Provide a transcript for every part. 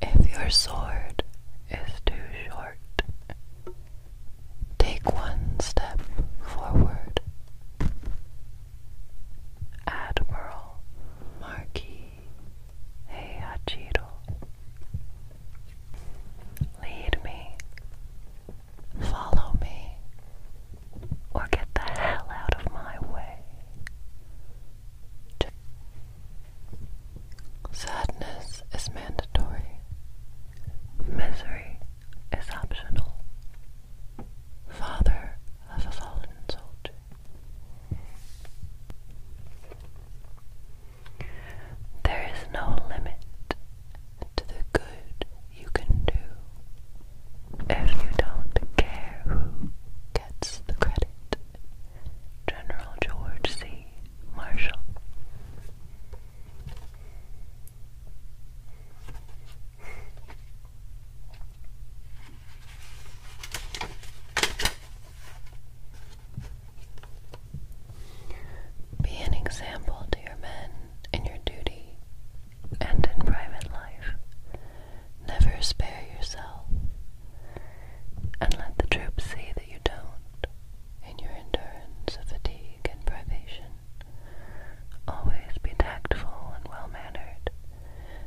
If your sword is too short, take one step forward. Admiral Marquis Heihachido, lead me, follow me, or get the hell out of my way. Sadness is mandatory. Misery is optional. Father of a fallen soldier. There is no limit to the good you can do if you don't care who gets the credit General George C. Marshall. Be an example to men in your duty and in private life, Never spare yourself, and let the troops see that you don't, in your endurance of fatigue and privation. Always be tactful and well mannered,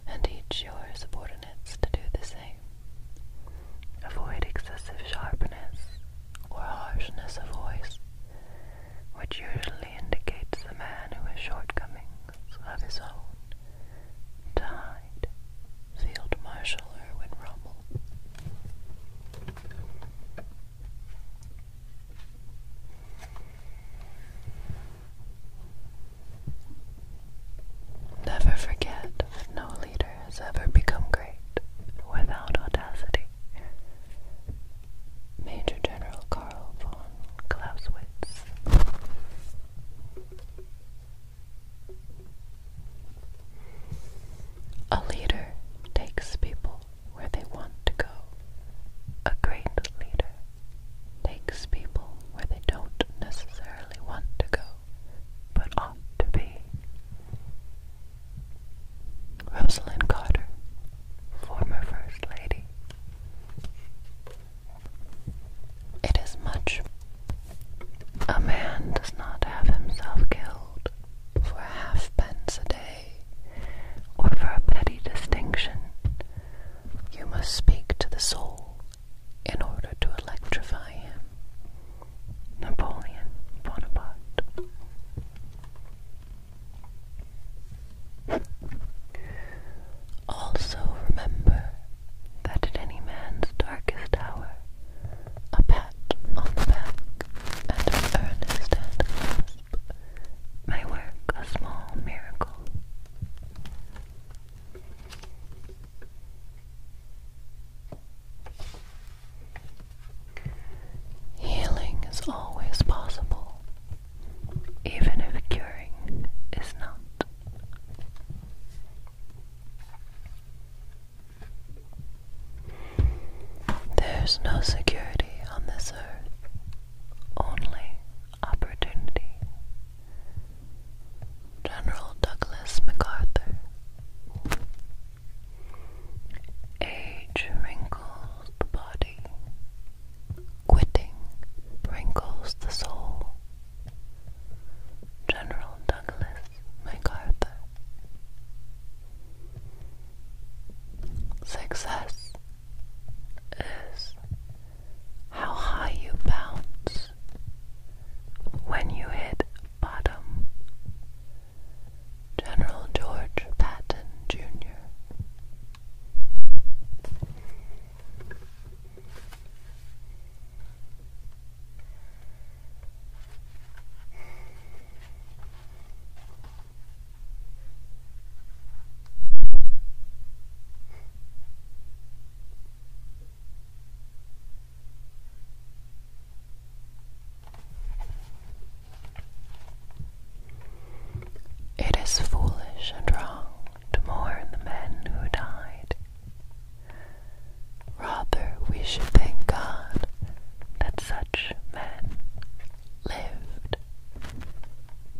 and teach your subordinates to do the same. Avoid excessive sharpness or harshness of voice, which usually indicates the man who has shortcomings of his own died Field Marshal Erwin Rommel. Never forget no leader has ever become great without audacity. Major General Karl von Clausewitz. A leader takes people where they want to go. A great leader takes people where they don't necessarily want to go, but ought to be. Rosalind Carter, former First Lady. It is much. A man does not have himself killed for halfpence a day, or for a petty distinction. You must speak to the soul in order to electrify him. Napoleon Bonaparte. Also remember that at any man's darkest hour, a pat on the back and an earnest handclasp may work a small miracle. Healing is always possible, even if curing is not. There's no security on this earth, only opportunity. General Douglas MacArthur. Age wrinkles the body, quitting wrinkles the soul. General Douglas MacArthur. Success is how high you bounce when you hit bottom. General George Patton Jr. It is foolish and wrong to mourn the men who died. Rather, we should thank God that such men lived.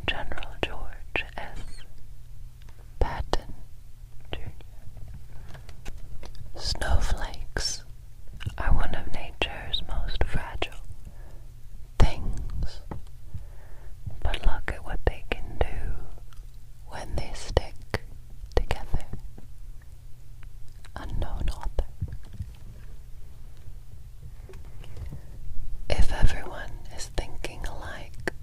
General George S. Patton, Snowflakes are one of nature's most fragile things. But look at what they can do when they stick together. Unknown author. If everyone is thinking alike,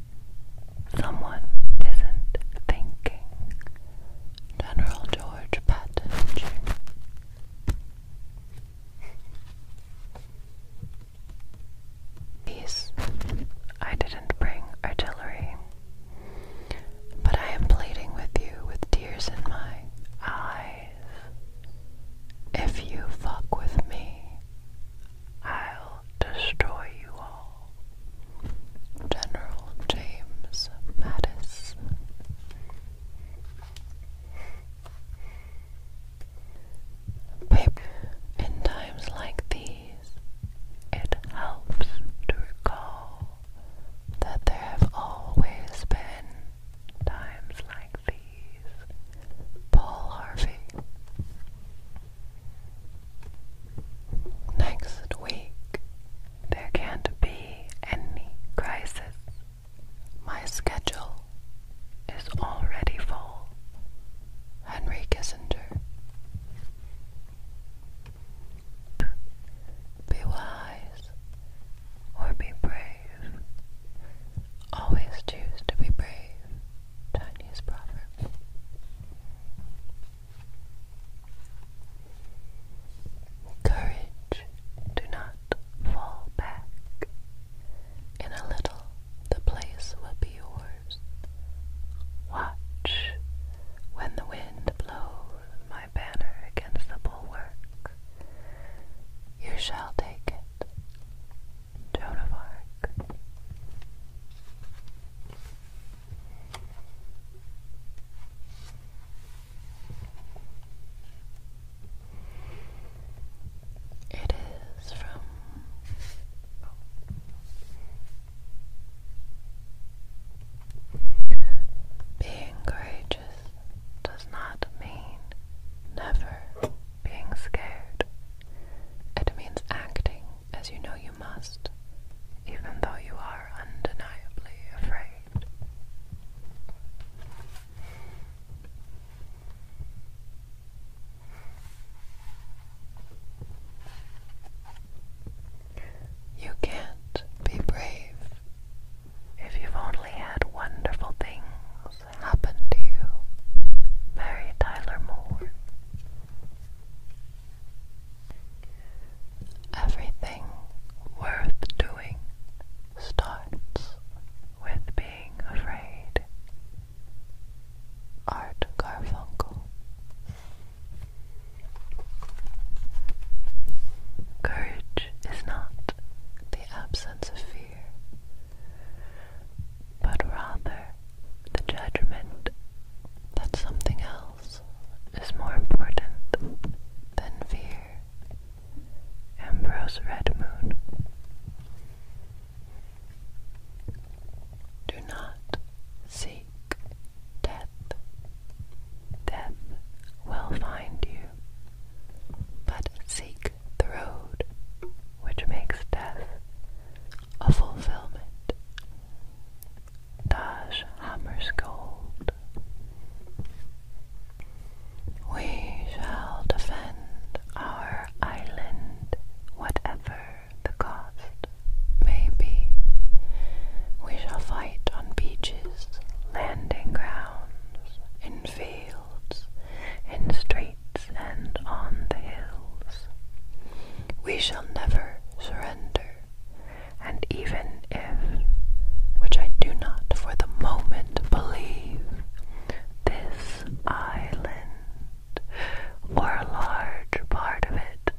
someone isn't thinking. General George Patton Jr. These I didn't bring artillery, but I am pleading with you with tears in my eyes. If you fuck with me, I'll destroy you all. General James Mattis. In times like these, it helps to recall that there have always been times like these. Paul Harvey. Next week, there can't be any crisis. My schedule is already full. Henry Kissinger. Be wise or be brave. Always choose to be brave. Chinese proverb. Courage, do not fall back. In a little, the place will be yours. Watch when the wind blows my banner against the bulwark. You shall take it. Joan of Arc. It is from. Being courageous does not mean never being scared. It means acting as you know you must, even though you are undeniably afraid. You can't be brave if you've only had wonderful things happen to you. Mary Tyler Moore. Everything worth doing starts with being being afraid. Art Garfunkel. Courage is not the absence of fear, but rather the judgment that something else is more important than fear. Ambrose Redmoon. Do not seek death. Death will find you, but seek the road which makes death a fulfillment. Taj Hammer's Gold. We shall defend our island, whatever the cost may be. We shall fight on beaches, landing grounds, in fields, in streets, and on the hills. We shall never surrender, and even if, which I do not for the moment believe, this island, or a large part of it,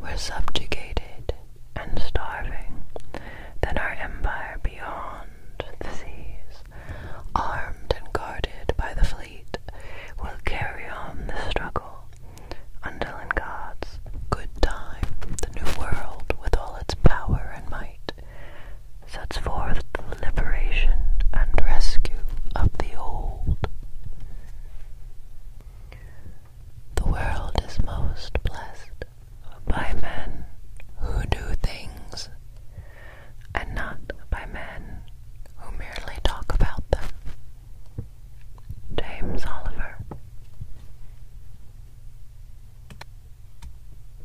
were subjugated and starving. Then our empire beyond the seas, armed and guarded by the fleet, will carry on the struggle until in God's good time the new world, with all its power and might, sets forth the liberation and rescue of the old. The world is most blessed by men who do things, and not by men who merely talk about them. James Oliver